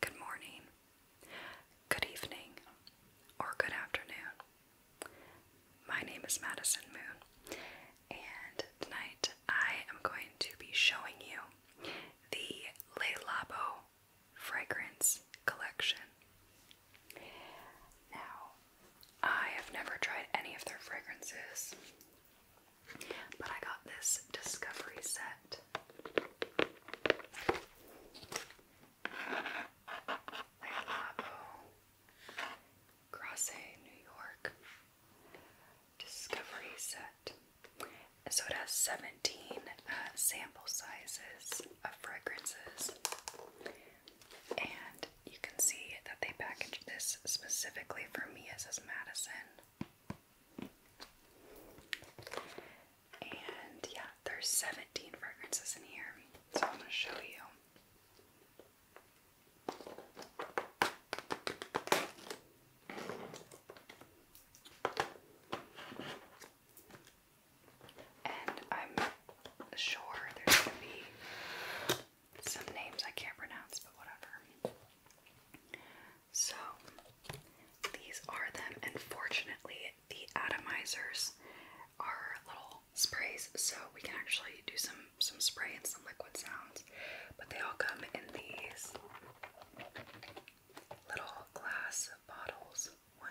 Good morning, good evening, or good afternoon. My name is Madison Moon, and tonight I am going to be showing you the Le Labo fragrance collection. Now, I have never tried any of their fragrances, but I got this discovery set. Like Labo, Grasse, New York, discovery set. So it has 17 uh, sample sizes of fragrances. And you can see that they packaged this specifically for me. as says Madison. And yeah, there's 17 fragrances in here. So I'm going to show you and I'm sure there's gonna be some names I can't pronounce, but whatever. So these are them, and fortunately, the atomizers are little sprays, so we can actually do some some spray and some liquid sounds. But they all come in these little glass bottles. One,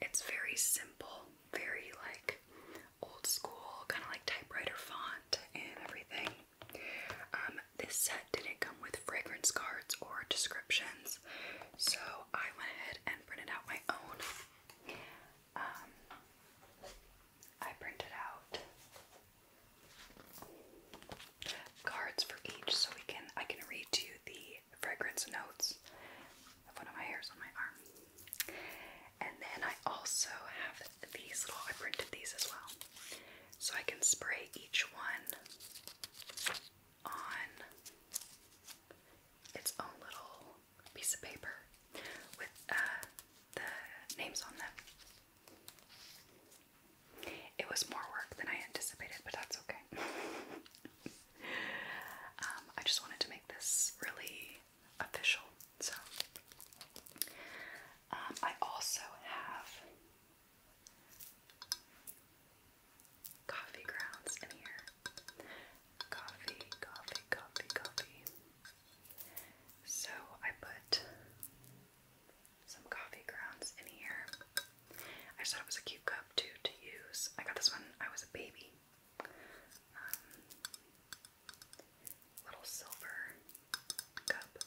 It's very simple, very like old school, kind of like typewriter font and everything. Um, this set didn't come with fragrance cards or descriptions, so I went ahead and printed out my own. Um, I printed out cards for each so we can I can read you the fragrance notes one of my hairs on my arm. And then I also have these I printed these as well. So I can spray each one on its own little piece of paper with uh, the names on them. It was more work than I anticipated, but that's okay. Um, I just wanted to make this really official. So, um, I also have coffee grounds in here. Coffee, coffee, coffee, coffee. So I put some coffee grounds in here. I thought it was a cute cup too to use. I got this one. I was a baby. Um, little silver cup.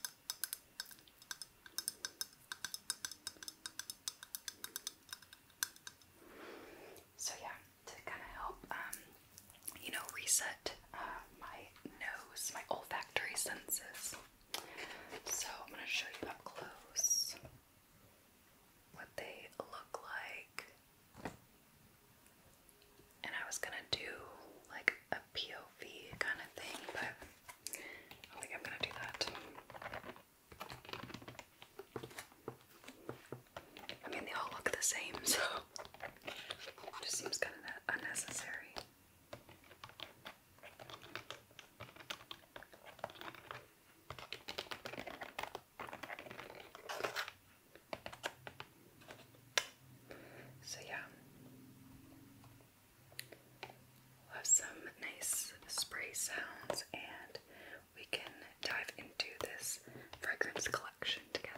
So yeah, to kind of help, um, you know, reset uh, my nose, my olfactory senses. So I'm gonna show you up close what they look like. And I was gonna do like a POV kind of thing, but I don't think I'm gonna do that. I mean, they all look the same, so it just seems kind of unnecessary. So, yeah, we'll have some nice spray sounds and we can dive into this fragrance collection together.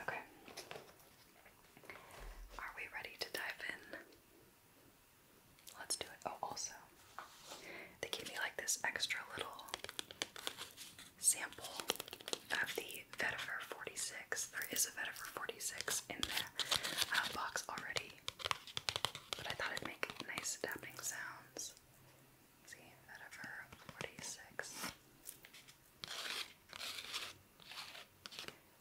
Okay. Are we ready to dive in? Let's do it. Oh, also, they gave me like this extra little sample of the Vetiver 46. There is a Vetiver 46 in the uh, box already, but I thought it'd make nice tapping sounds see, out 46.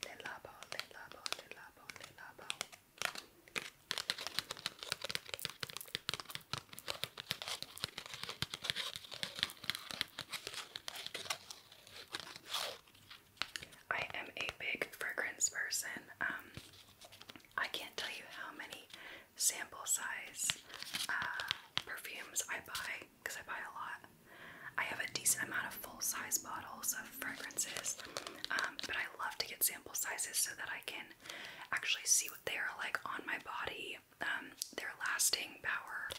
Le labo, le labo, le labo, le labo. I am a big fragrance person. Um, I can't tell you how many sample size uh, perfumes I buy because I buy a lot. I have a decent amount of full size bottles of fragrances, um, but I love to get sample sizes so that I can actually see what they are like on my body, um, their lasting power,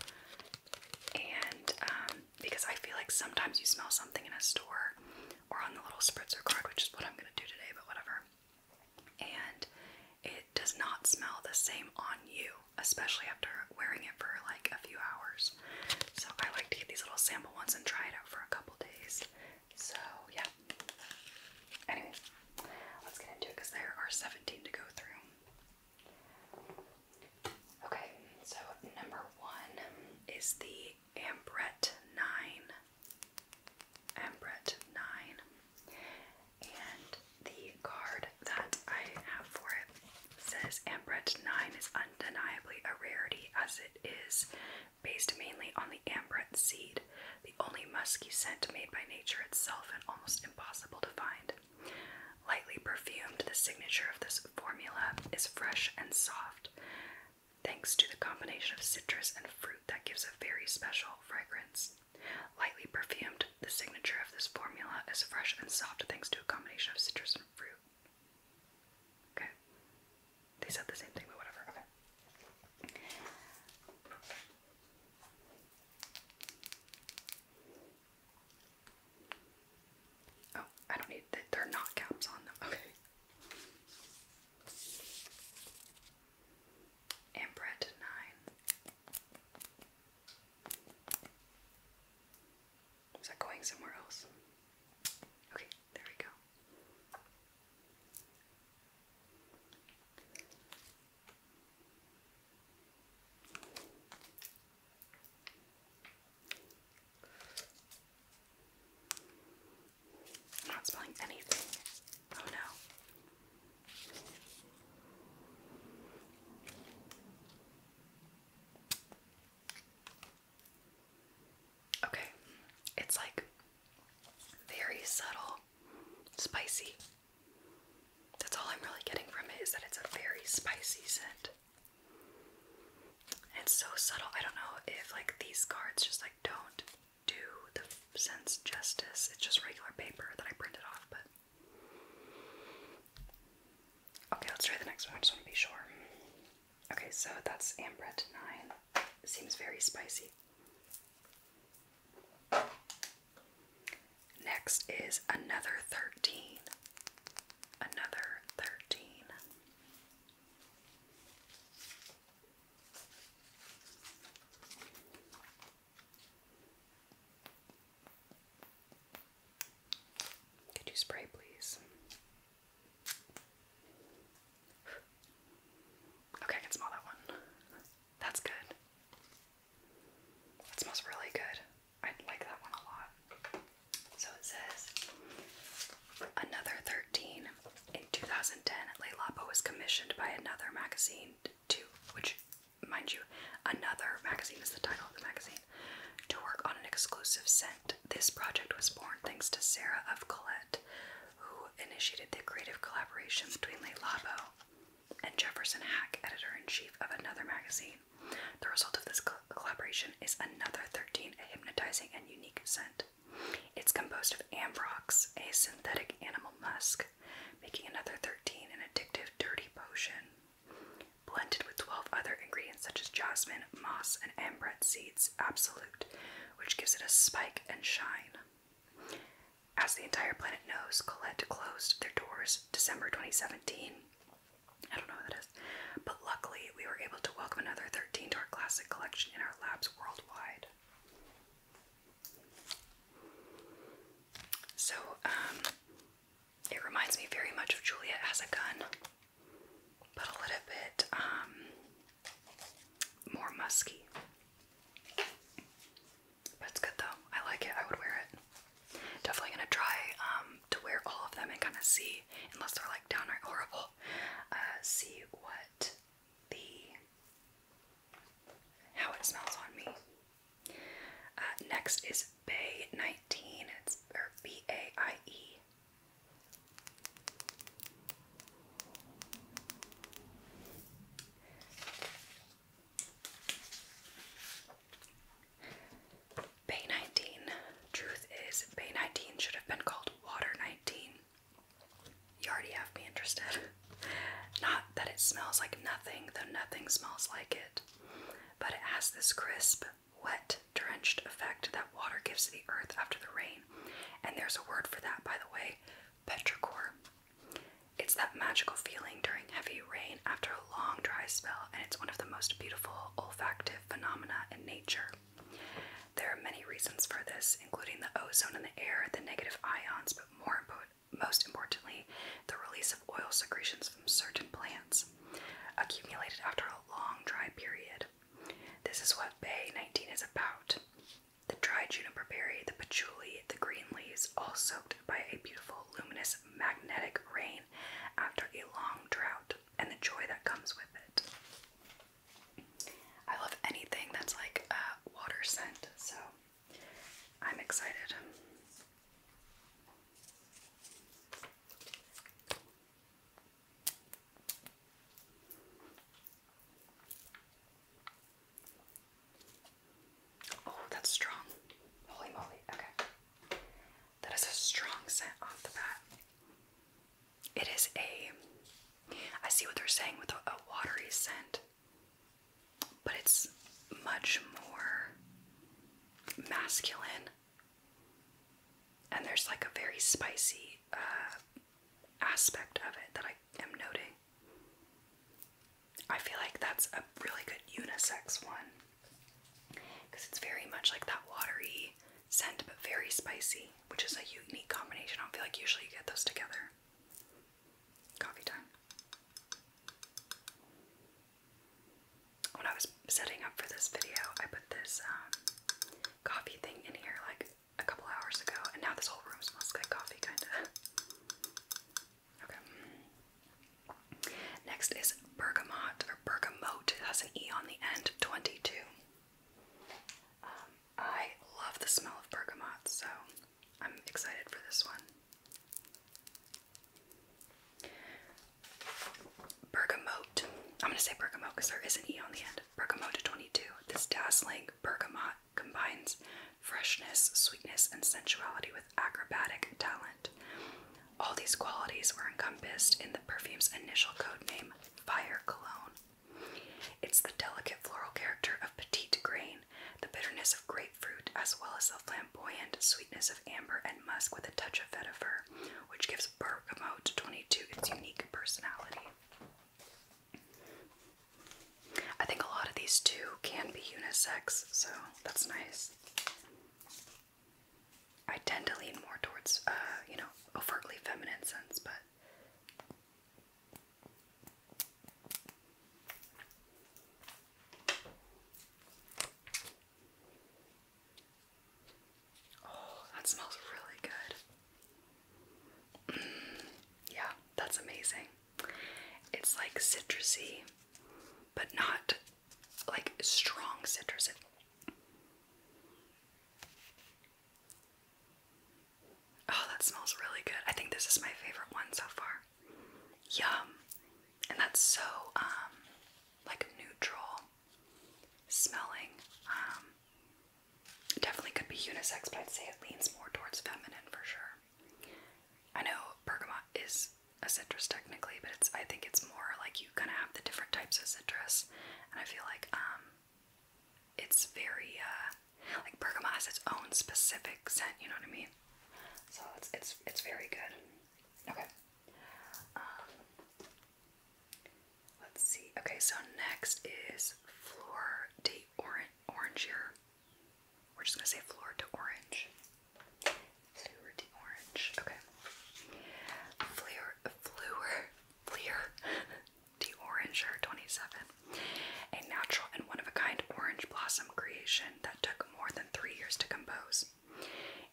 and um, because I feel like sometimes you smell something in a store or on the little spritzer card, which is what I'm gonna do today, but whatever and it does not smell the same on you, especially after wearing it for like a few hours. So I like to get these little sample ones and try it out for a couple days. So yeah. Anyway, let's get into it because there are 17 to go through. Okay, so number one is the Ambrette 9 Embret 9. And the card that I have for it says Ambret 9 is undeniably a rarity as it is based mainly on the Ambret seed, the only musky scent made by nature itself and almost impossible to find. Lightly perfumed, the signature of this formula is fresh and soft, thanks to the combination of citrus and fruit that gives a very special fragrance. Lightly perfumed, the signature of this formula is fresh and soft thanks to a combination of citrus and fruit. Okay. They said the same thing, but whatever. Okay. Oh, I don't need They're not caps on them. Okay and bread to nine. Is that going somewhere else? Okay, there we go. I'm not spelling anything. Oh no. Okay, it's like very subtle, spicy. That's all I'm really getting from it is that it's a very spicy scent. It's so subtle. I don't know if like these cards just like don't do the sense justice. It's just regular paper that I printed off, but. Okay, let's try the next one. I just want to be sure. Okay, so that's Ambrette 9. seems very spicy. Next is another 13. Another 13. Could you spray, please? Okay, I can smell that one. That's good. It smells really good. I like that one a lot. So it says another 13. In 2010, Le was commissioned by another magazine two, which, mind you, another magazine is the title of the magazine, to work on an exclusive scent. This project was born thanks to Sarah of Colette, who initiated the creative collaboration between Le Labo and Jefferson Hack, editor in chief of another magazine. The result of this collaboration is another 13, a hypnotizing and unique scent. It's composed of ambrox, a synthetic animal musk, making another 13 an addictive dirty potion. Blended with 12 other ingredients such as jasmine, moss, and ambrette seeds, absolute, which gives it a spike and shine. As the entire planet knows, Colette closed their doors December 2017. I don't know what that is, but luckily we were able to welcome another 13 to our classic collection in our labs worldwide. So, um, it reminds me very much of Juliet as a gun, but a little bit um, more musky. But good though. I like it. I would wear it. Definitely gonna try um, to wear all of them and kind of see, unless they're like downright horrible, uh, see what the how it smells on me. Uh, next is Bay 19. It's B A I E. Bay 19. Truth is, Bay 19 should have been called Water 19. You already have me interested. Not that it smells like nothing, though nothing smells like it, but it has this crisp, wet, drenched effect that water gives the earth after the rain. And there's a word for that, by the way petrichor. It's that magical feeling during heavy rain after a long dry spell, and it's one of the most beautiful olfactory phenomena in nature. There are many reasons for this, including the ozone in the air, the negative ions more important, most importantly, the release of oil secretions from certain plants, accumulated after a long dry period. This is what Bay 19 is about. The dry juniper berry, the patchouli, the green leaves, all soaked by a beautiful, luminous, magnetic rain after a long drought, and the joy that comes with it. I love anything that's like a water scent, so I'm excited. Oh, that's strong. Holy moly. Okay. That is a strong scent off the bat. It is a, I see what they're saying with a watery scent but it's much more masculine. And there's like a very spicy uh, aspect of it that I am noting. I feel like that's a really good unisex one because it's very much like that watery scent but very spicy, which is a unique combination. I don't feel like usually you get those together coffee time. When I was setting up for this video, I put this um, coffee thing in here like a couple hours ago, and now this whole room smells like coffee, kinda. Okay. Next is bergamot or bergamot. It has an E on the end, 22. Um, I love the smell of bergamot, so I'm excited for this one. Bergamote. I'm going to say bergamot because there is an E on the end. Bergamot 22. This dazzling bergamot combines freshness, sweetness, and sensuality with acrobatic talent. All these qualities were encompassed in the perfume's initial code name, Fire Cologne, it's the delicate floral character of petit grain, the bitterness of grapefruit, as well as the flamboyant sweetness of amber and musk with a touch of vetiver, which gives Bergamot 22 its unique personality. I think a lot of these two can be unisex, so that's nice. I tend to lean more towards, uh, you know, overtly feminine sense, but Oh, that smells really good. Mm, yeah, that's amazing. It's like citrusy, but not like strong citrus. Oh, that smells really good. I think this is my favorite one so far. Yum. And that's so um like neutral smelling. Um definitely could be unisex, but I'd say it leans more towards feminine for sure. I know bergamot is a citrus technically, but it's I think it's more like you kind of have the different types of citrus, and I feel like um it's very uh, like bergamot has its own specific scent, you know what I mean? So it's it's it's very good. Okay. Um, let's see. Okay, so next is Fleur de Orange here. We're just gonna say Fleur de Orange. Fleur de Orange. Okay. Fleur Fleur Fleur the Orange Oranger 27, a natural and one of a kind orange blossom creation that took more than three years to compose.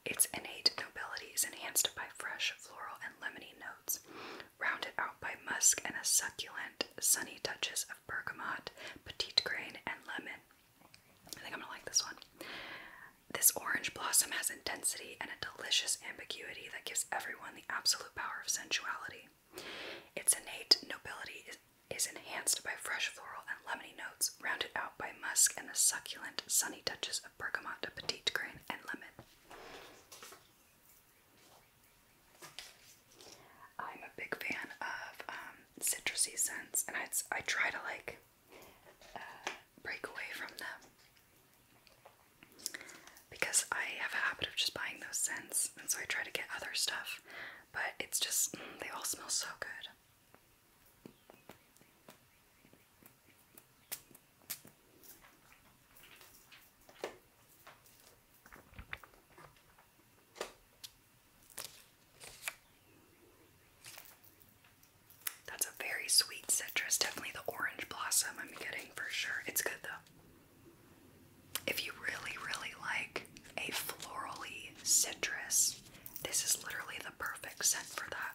Its innate nobility is enhanced by fresh floral and lemony notes, rounded out by musk and a succulent, sunny touches of bergamot, petit grain, and lemon. I think I'm gonna like this one. This orange blossom has intensity and a delicious ambiguity that gives everyone the absolute power of sensuality. Its innate nobility is, enhanced by fresh floral and lemony notes, rounded out by musk and the succulent, sunny touches of bergamot, petite grain, and lemon. I'm a big fan of um, citrusy scents, and I, try to like uh, break away from them because I have a habit of just buying those scents, and so I try to get other stuff, but it's just, mm, they all smell so good. That's a very sweet citrus, definitely the orange blossom I'm getting for sure. It's good though. If you really, really like a florally citrus, this is literally the perfect scent for that.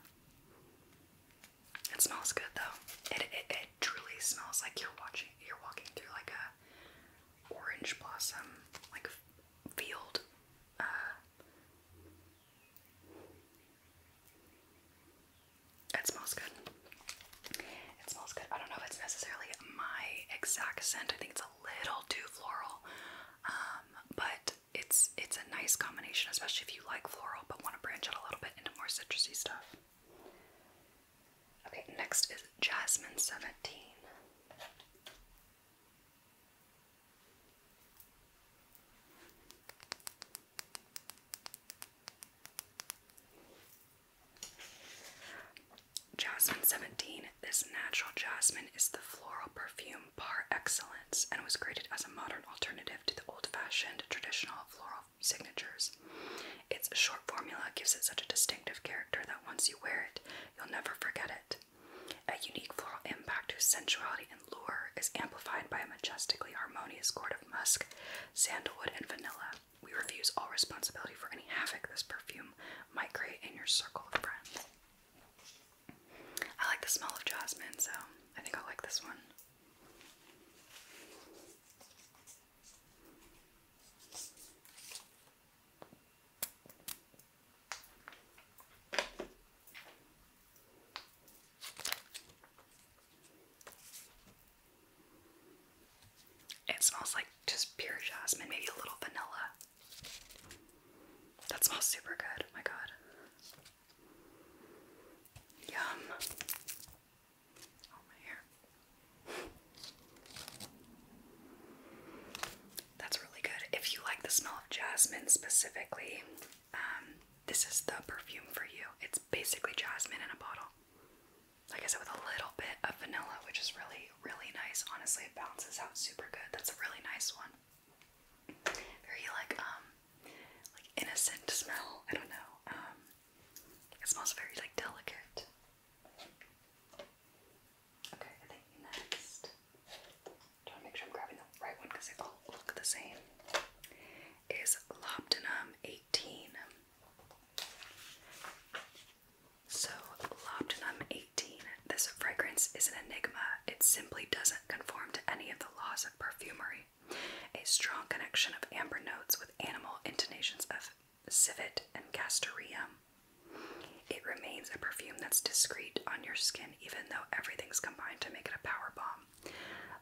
It smells good though. It it, truly smells like you're watching you're walking through like a orange blossom like field. Uh, it smells good. It smells good. I don't know if it's necessarily my exact scent. I think it's a little too floral, um, but it's it's a nice combination, especially if you like floral but want to branch out a little bit into more citrusy stuff. Okay, next is Jasmine Seventeen. Jasmine 17. This natural jasmine is the floral perfume par excellence and was created as a modern alternative to the old fashioned traditional floral signatures. Its short formula gives it such a distinctive character that once you wear it, you'll never forget it. A unique floral impact whose sensuality and lure is amplified by a majestically harmonious chord of musk, sandalwood, and vanilla. We refuse all responsibility for any havoc this perfume might create in your circle of friends. I like the smell of jasmine, so I think I'll like this one. It smells like just pure jasmine, maybe a little vanilla. That smells super good. Oh my god. Yum. Oh, my hair. That's really good. If you like the smell of jasmine specifically, um, this is the perfume for you. It's basically jasmine in a bottle like I said, with a little bit of vanilla, which is really, really nice. Honestly, it bounces out super good. That's a really nice one. Very like um like innocent smell. I don't know. Um it smells very like delicate. Okay, next. Trying to make sure I'm grabbing the right one because they all look the same. Is Lobdenum 18. So, Lobdenum 18. This fragrance is an enigma. It simply doesn't conform to any of the laws of perfumery. A strong connection of amber notes with animal intonations of civet and castoreum. It remains a perfume that's discreet on your skin, even though everything's combined to make it a power bomb.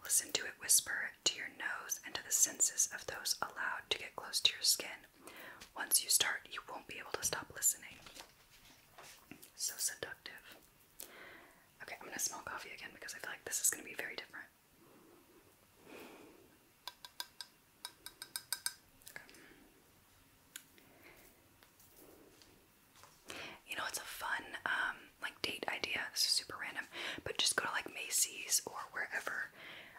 Listen to it whisper to your nose and to the senses of those allowed to close to your skin. Once you start, you won't be able to stop listening. So seductive. Okay, I'm gonna smell coffee again because I feel like this is gonna be very different. You know, it's a fun um, like date idea. This is super random, but just go to like Macy's or wherever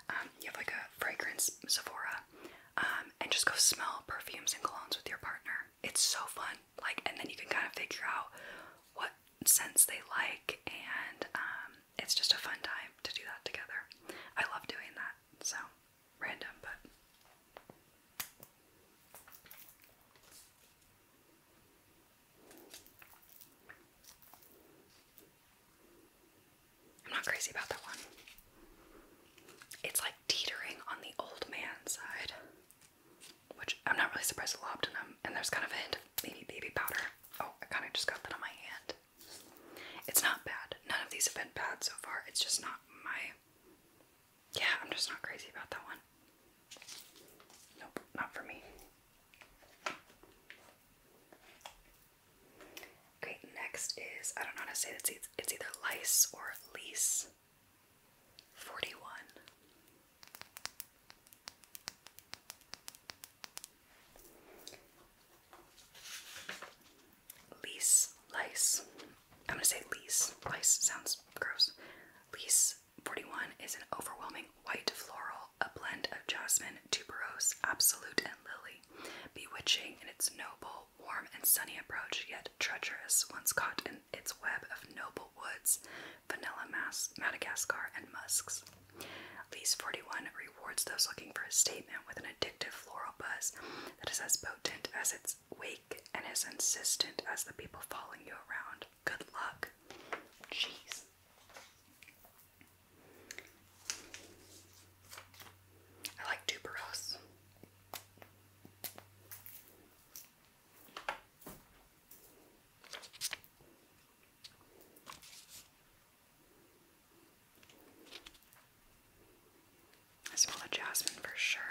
um, you have like a fragrance Sephora, um, and just go smell perfumes and colognes with your partner. It's so fun, like, and then you can kind of figure out what scents they like, and um, it's just a fun time to do that together. I love doing that. So random, but. I'm not crazy about that one. It's like teetering on the old man side, which I'm not really surprised at Lobdenum, and there's kind of a hint of maybe baby powder. Oh, I kind of just got that on my hand. It's not bad. None of these have been bad so far. It's just not my. Yeah, I'm just not crazy about that one. Nope, not for me. Okay, next is I don't know how to say this. It's, either lice or lease. 41. Lease, lice. I'm gonna say lease. Lice sounds gross. Lease 41 is an overwhelming white floral, a blend of jasmine, tuberose, absolute, and lily, bewitching in its noble, warm, and sunny approach, yet treacherous once caught in its web of noble woods, vanilla, mas, Madagascar, and musks. These 41 rewards those looking for a statement with an addictive floral buzz that is as potent as its wake and as insistent as the people following you around. Good luck. Jeez. I like tuberose. I smell the jasmine for sure.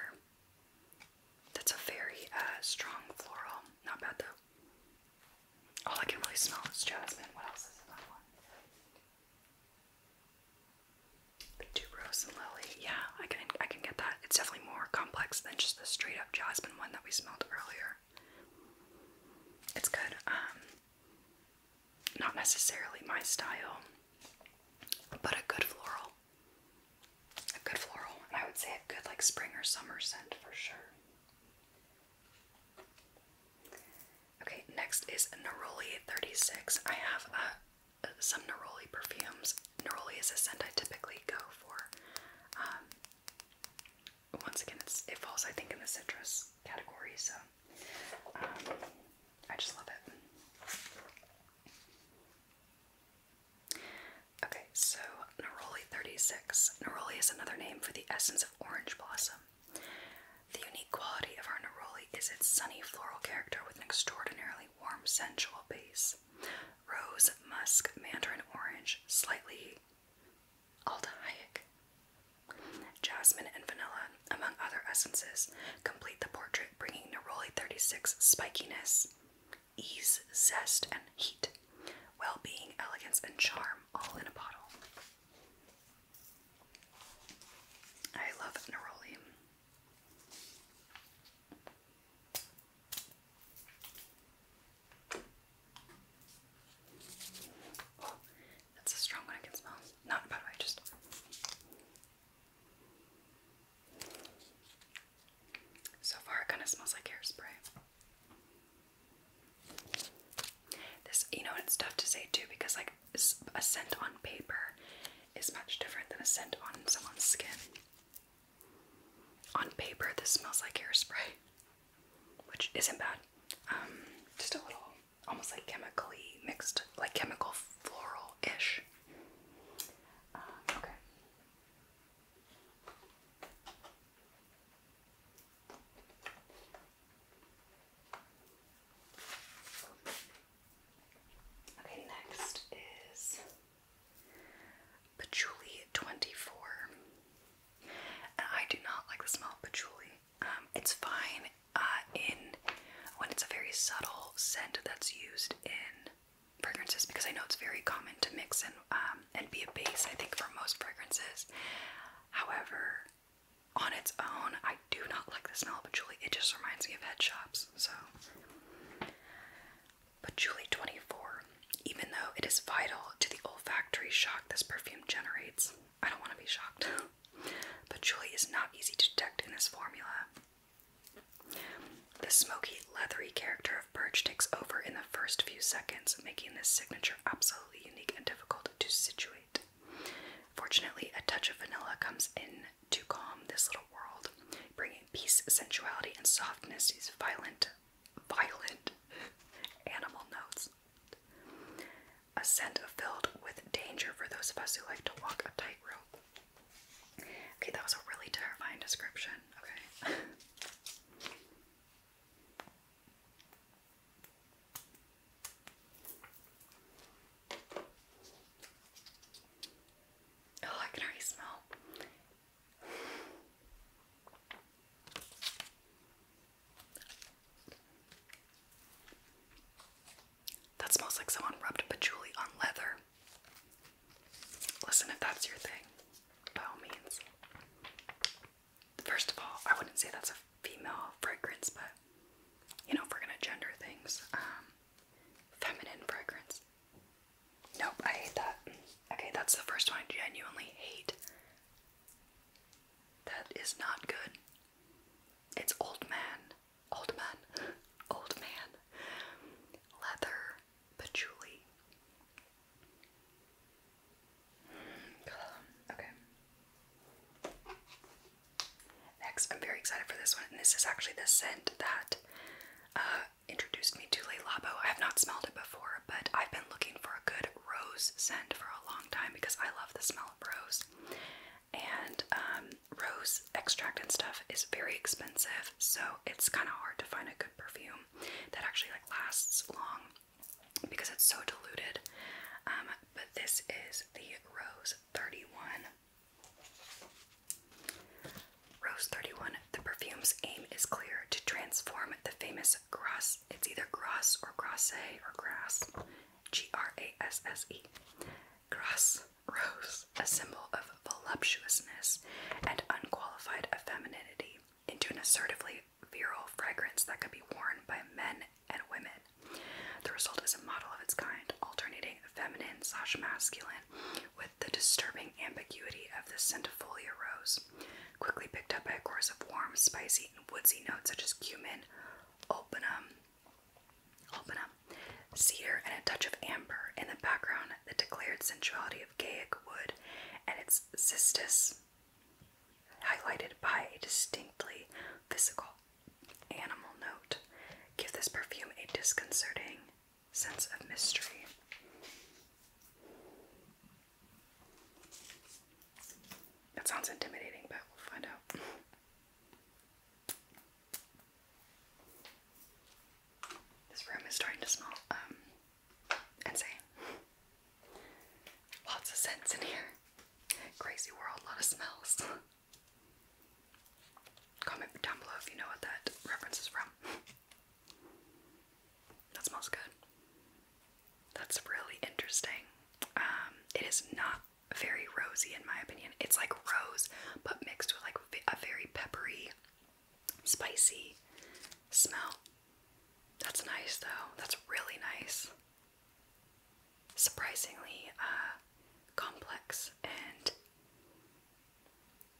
That's a very uh, strong floral. Not bad though. All I can really smell is jasmine. What else is in that one? The tuberose and lily. Yeah, I can I can get that. It's definitely more complex than just the straight up jasmine one that we smelled earlier. It's good. Um, not necessarily my style, but a good floral. A good floral, I would say a good like spring or summer scent for sure. Okay, next is Neroli 36. I have uh, some Neroli perfumes. Neroli is a scent I typically go for. Um, once again, it falls, I think, in the citrus category, so um, I just love it. Okay, so neroli 36. Neroli is another name for the essence of orange blossom. The unique quality of our neroli is its sunny floral character with an extraordinarily warm, sensual base. Rose, musk, mandarin orange, slightly aldehydic. Jasmine and vanilla, among other essences, complete the portrait, bringing Neroli 36 spikiness, ease, zest, and heat well being, elegance, and charm all in a bottle. I love neroli. that's a strong one I can smell. Not by the way, just so far it kind of smells like hairspray. This, you know, it's tough to say too because, like, a scent on paper is much different than a scent on someone's skin. On paper, this smells like hairspray, which isn't bad. Um, just a little, almost like chemically mixed, like chemical floral ish. Um, okay. Okay, next is Patchouli 24. I do not like the smell of patchouli. Um, it's fine uh, in when it's a very subtle scent that's used in fragrances because I know it's very common to mix in um, and be a base, I think, for most fragrances. However, on its own, I do not like the smell of patchouli. It just reminds me of head shops. So, patchouli 24. Even though it is vital to the olfactory shock this perfume generates, I don't want to be shocked. patchouli is not easy to detect in this formula. The smoky, leathery character of purge takes over in the first few seconds, making this signature absolutely unique and difficult to situate. Fortunately, a touch of vanilla comes in to calm this little world, bringing peace, sensuality, and softness to these violent, violent animal notes. A scent filled with danger for those of us who like to walk a tightrope. Okay, that was a really terrifying description. Okay. Oh, I can already smell. That smells like someone rubbed patchouli on leather. Listen, if that's your thing, by all means first of all, I wouldn't say that's a female fragrance, but you know, if we're gonna gender things, um, feminine fragrance. Nope, I hate that. Okay, that's the first one I genuinely hate. That is not good. It's old man, old man, old man, leather, patchouli. Okay. Next, I'm very excited for this one, and this is actually the scent that uh, introduced me to Le Labo. I have not smelled it before, but I've been looking for a good rose scent for a long time because I love the smell of rose. And um, rose extract and stuff is very expensive, so it's kind of hard to find a good perfume that actually like lasts long because it's so diluted. Um, but this is the Rose 31. Rose 31. The perfume's aim is clear to transform the famous Grasse. It's either Grasse or Grasse or Grass. G R A S S E. Grasse Rose, a symbol of voluptuousness and unqualified femininity, into an assertively virile fragrance that could be worn by men and women. The result is a model of its kind, alternating feminine slash masculine with the disturbing ambiguity of the centifolia rose, quickly picked up by a chorus of warm, spicy, and woodsy notes such as cumin, openum, openum, cedar, and a touch of amber. In the background, the declared sensuality of Gaiac wood and its cistus highlighted by a distinctly physical animal note, give this perfume a disconcerting sense of mystery. That sounds intimidating, but we'll find out. This room is starting to smell um, Insane. Lots of scents in here. Crazy world, lot of smells. Comment down below if you know what that reference is from. That smells good. That's really interesting. Um, it is not very rosy in my opinion. It's like rose, but mixed with like a very peppery, spicy smell. That's nice, though. That's really nice. Surprisingly uh, complex and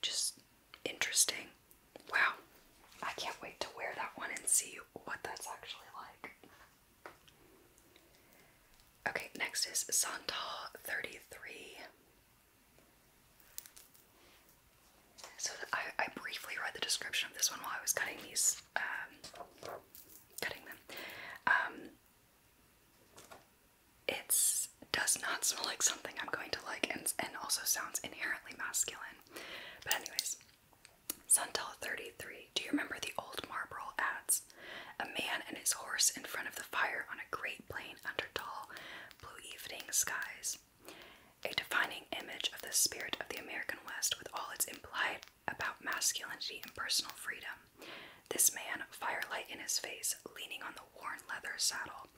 just interesting. Wow. I can't wait to wear that one and see what that's actually like. Okay, next is Santal 33. So I, briefly read the description of this one while I was cutting these, um, cutting them. Um, it does not smell like something I'm going to like, and also sounds inherently masculine. But anyways, Suntel 33. Do you remember the old Marlboro ads? A man and his horse in front of the fire on a great plain under tall blue evening skies. A defining image of the spirit of the American West with all its implied about masculinity and personal freedom. This man, firelight in his face, leaning on the worn leather saddle,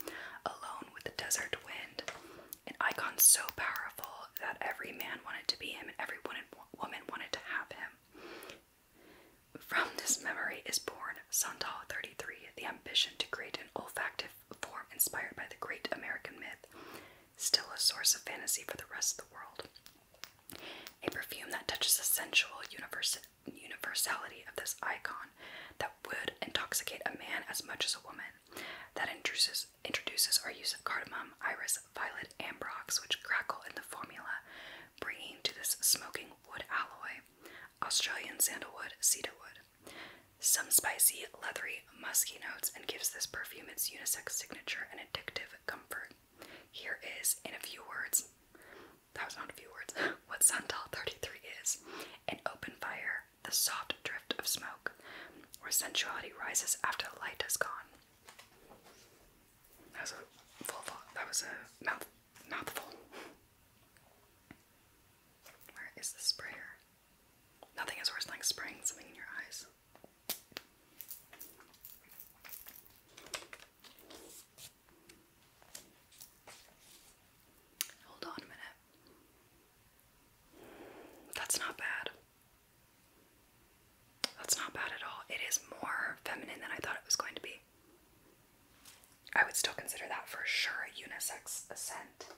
alone with the desert wind, an icon so powerful that every man wanted to be him and every woman wanted to have him. From this memory is born Santal 33, the ambition to create an olfactory form inspired by the great American myth, still a source of fantasy for the rest of the world. A perfume that touches the sensual universality of this icon that would intoxicate a man as much as a woman, that introduces, introduces our use of cardamom, iris, violet, ambrox, which crackle in the formula, bringing to this smoking wood alloy Australian sandalwood, cedarwood. Some spicy, leathery, musky notes and gives this perfume its unisex signature and addictive comfort. Here is, in a few words, that was not a few words, what Santal 33 is an open fire, the soft drift of smoke, where sensuality rises after the light has gone. That was a full that was a mouthful. Where is the sprayer? Nothing is worse than like spraying something in your eyes. Hold on a minute. That's not bad. That's not bad at all. It is more feminine than I thought it was going to be. I would still consider that for sure a unisex scent.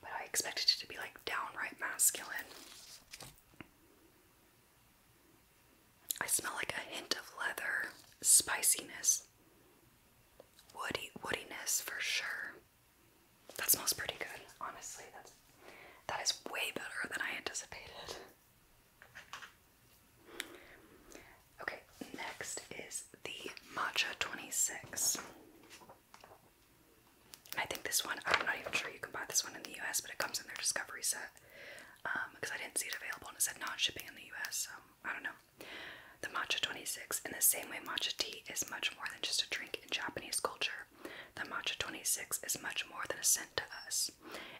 But I expected it to be like downright masculine. I smell like a hint of leather, spiciness, woody woodiness for sure. That smells pretty good, honestly. That's way better than I anticipated. Okay, next is the matcha 26. I think this one, I'm not even sure you can buy this one in the US, but it comes in their discovery set. because um, I didn't see it available and it said non shipping in the US, so I don't know. The matcha 26, in the same way matcha tea is much more than just a drink in Japanese culture, the matcha 26 is much more than a scent to us.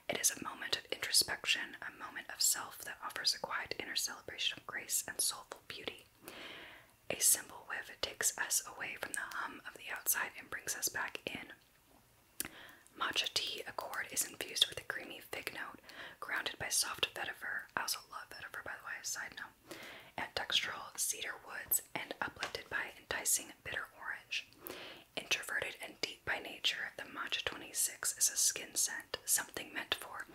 It is a moment of introspection, a moment of self that offers a quiet inner celebration of grace and soulful beauty. A simple whiff takes us away from the hum of the outside and brings us back in. Matcha tea accord is infused with a creamy fig note, grounded by soft vetiver. I also love vetiver, by the way, side note. And cedar woods, and uplifted by enticing bitter orange. Introverted and deep by nature, the matcha 26 is a skin scent, something meant for,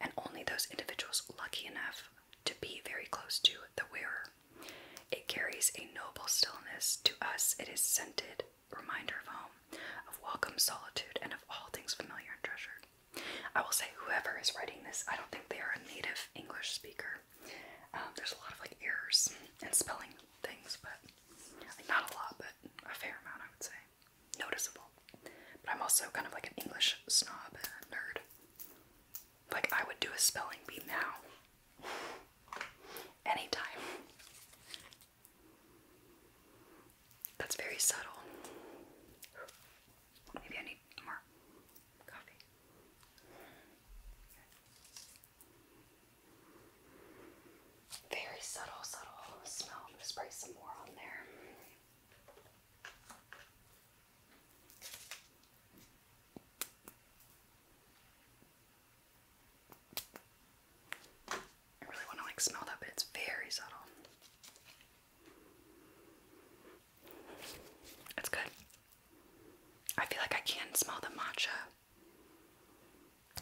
and only those individuals lucky enough to be very close to the wearer. It carries a noble stillness. To us, it is scented reminder of home, of welcome solitude, and of all things familiar and treasured. I will say, whoever is writing this, I don't think they are a native English speaker. Um, there's a lot of like errors and spelling things, but not a lot, but a fair amount, I would say. Noticeable. But I'm also kind of like an English snob nerd. Like, I would do a spelling bee now. Anytime. That's very subtle. Maybe I need more coffee. Very subtle, subtle smell. spray some more on there. I really want to like smell that, but it's very subtle. It's good. I feel like I can smell the matcha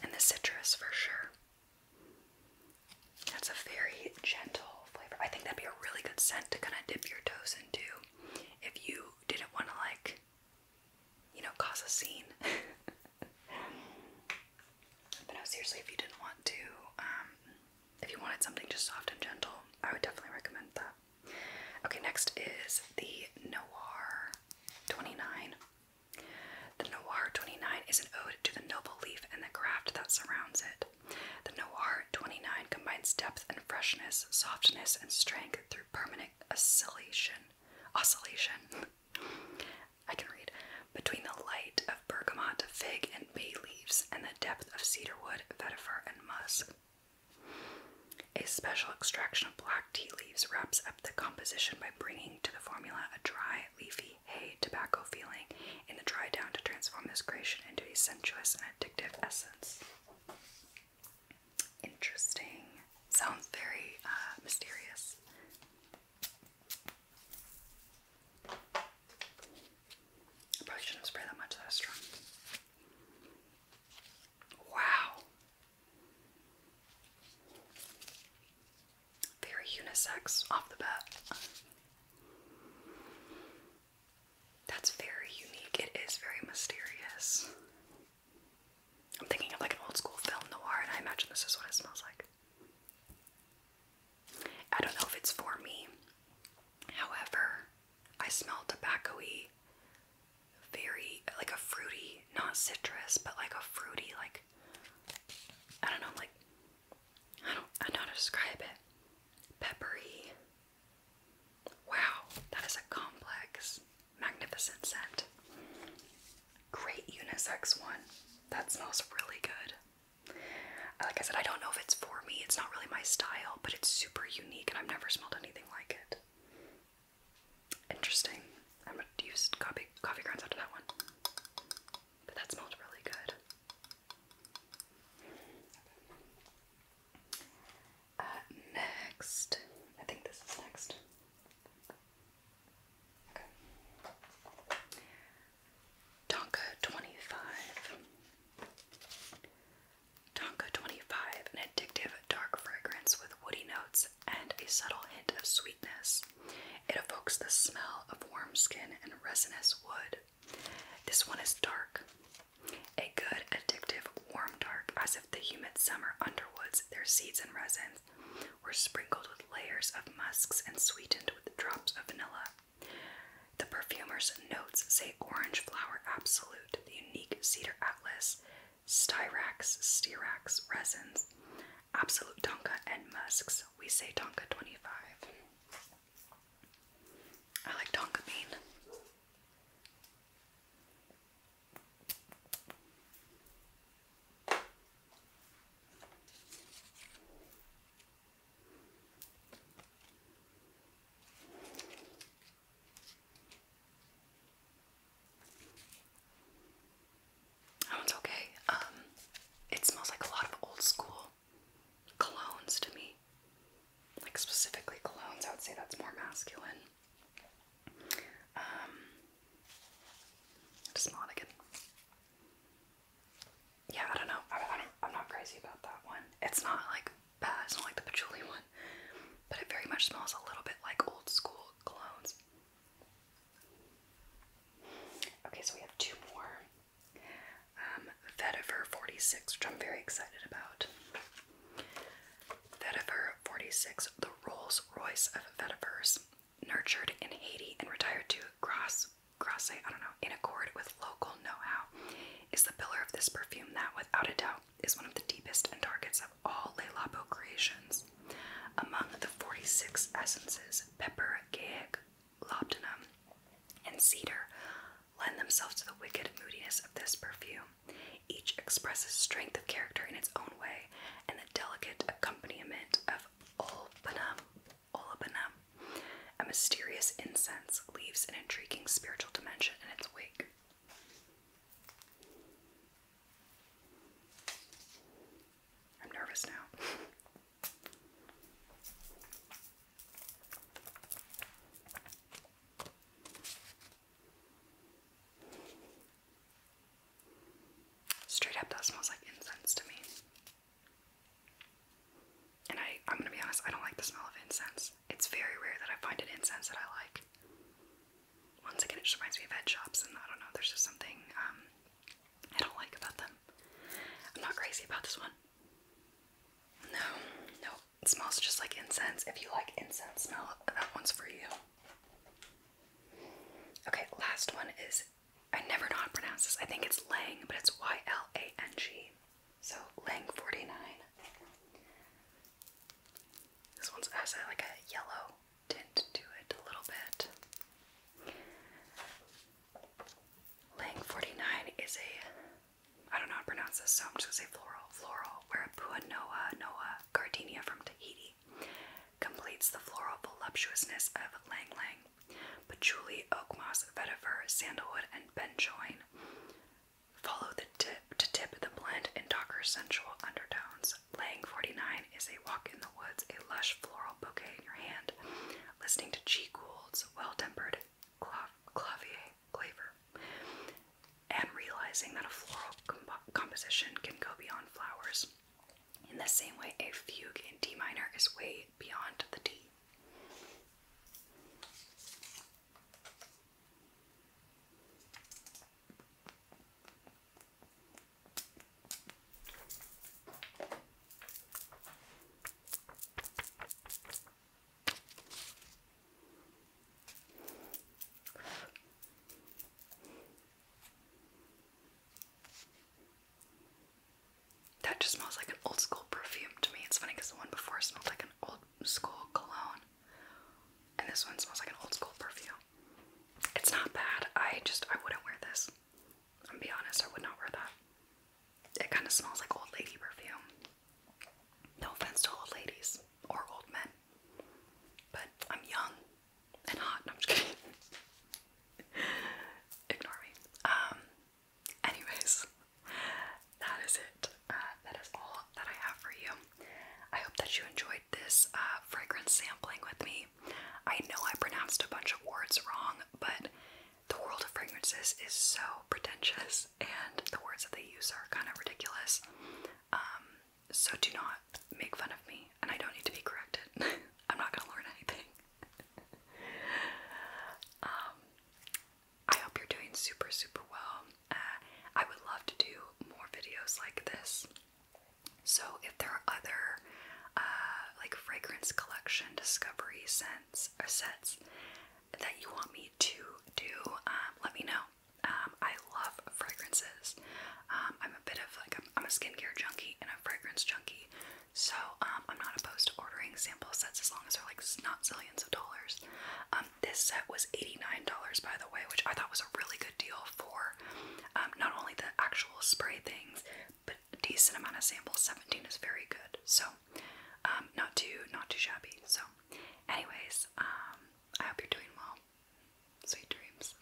and the citrus for sure. That's a very gentle flavor. I think that'd be a really good scent to kind of dip your toes into if you didn't want to, like, you know, cause a scene. but no, seriously, if you didn't want to, um, if you wanted something just soft and gentle, I would definitely recommend that. Okay, next is the Noir 29. The Noir 29 is an ode to the noble leaf and the craft that surrounds it. The Noir 29 combines depth and freshness, softness and strength through permanent oscillation. Oscillation. I can read. Between the light of bergamot, fig, and bay leaves, and the depth of cedarwood, vetiver, and musk. A special extraction of black tea leaves wraps up the composition by bringing to the formula a dry, leafy, hay tobacco feeling in the dry down to transform this creation into a sensuous and addictive essence. Interesting. Sounds very uh, mysterious. I probably shouldn't have that much, that strong. Wow. Very unisex off the bat. That's very unique. It is very mysterious. I'm thinking of like an old school film noir, and I imagine this is what it smells like. I don't know if it's for me. However, I smell tobacco-y, very like a fruity, not citrus, but like a fruity, like I don't know, like I don't I don't know how to describe it. Peppery. Wow, that is a complex, magnificent scent. Great unisex one. That smells really good. Like I said, I don't know if it's for me. It's not really my style, but it's super unique and I've never smelled anything like it. Interesting. I'm gonna use coffee coffee grounds after that one. But that smelled really good next, I think this is next. Tonka 25. Tonka 25, an addictive dark fragrance with woody notes and a subtle hint of sweetness. It evokes the smell of warm skin and resinous wood. This one is dark. A good, addictive, warm dark, as if the humid summer underwoods, their seeds and resins, were sprinkled with layers of musks and sweetened with drops of vanilla. The perfumer's notes say orange flower absolute, the unique cedar atlas, styrax, styrax resins, absolute tonka, and musks. We say tonka 25. I like Tonka bean. That one's okay. Um, it smells like a lot of old school Clones to me. Like specifically clones. I would say that's more masculine. Um just not again. Yeah, I don't know. I, am not crazy about that one. It's not like bad. It's not like the patchouli one, but it very much smells a little bit like old school clones. Okay, so we have two more. Um, Vetiver 46, which I'm very excited about. Vetiver 46, the Rolls Royce of Vetivers, nurtured in Haiti and retired to Grasse, Grasse, I don't know, in accord with local know-how, is the pillar of this perfume that, without a doubt, is one of the deepest and darkest of all Le Labo creations. Among the 46 essences, pepper, gaeg, laudanum, and cedar lend themselves to the wicked moodiness of this perfume. Each expresses strength of character in its own way, and the delicate accompaniment of olibanum, olibanum, a mysterious incense, leaves an intriguing spiritual dimension in its wake. I'm nervous now. Straight up, that smells like incense to me. And I, I'm gonna be honest, I don't like the smell of incense. It's very rare that I find an incense that I like. Once again, it just reminds me of head shops, and I don't know, there's just something um, I don't like about them. I'm not crazy about this one. No, no, it smells just like incense. If you like incense smell, that one's for you. Okay, last one is I never know how to pronounce this. I think it's Lang, but it's Y L A N G. So Lang 49. This one's has uh, like a yellow tint to it a little bit. Lang 49 is a, I don't know how to pronounce this, so I'm just gonna say floral, floral, where Puanoa Noa Gardenia from Tahiti completes the floral voluptuousness of Lang Lang, patchouli, oak moss, vetiver, sandalwood, and benjoin. Follow the tip to tip the blend and darker sensual undertones. Lang 49 is a walk in the woods, a lush floral bouquet in your hand, listening to G. Gould's well-tempered clavier flavor, and realizing that a floral composition can go beyond flowers. In the same way, a fugue in D minor is way beyond the D. That just smells like an old school perfume to me. It's funny because the one before smelled like an old school cologne, and this one smells like an old school perfume. It's not bad. I just I wouldn't wear this. I'm gonna be honest. I would not wear that. It kind of smells like old lady perfume. No offense to old ladies or old men, but I'm young and hot. I'm just kidding. Ignore me. Um. Anyways, that is it. Uh, that is all that I have for you. I hope that you enjoyed this uh, fragrance sampling with me. I know I pronounced a bunch of words wrong, but the world of fragrances is so pretentious and the words that they use are kind of ridiculous. Um, so do not make fun of me, and I don't need to be corrected. I'm not gonna learn anything. Um, I hope you're doing super, super well. Uh, I would love to do more videos like this. So if there are other uh, like fragrance collection discovery scent or sets that you want me to do, um, let me know. Um, I love fragrances. Um, I'm a bit of like a, I'm a skincare junkie and a fragrance junkie, so I'm not opposed to ordering sample sets as long as they're like not zillions of dollars. this set was $89 by the way, which I thought was a really good deal for not only the actual spray things, but decent amount of samples. 17 is very good. So um, not too not too shabby. So anyways, um, I hope you're doing well. Sweet dreams.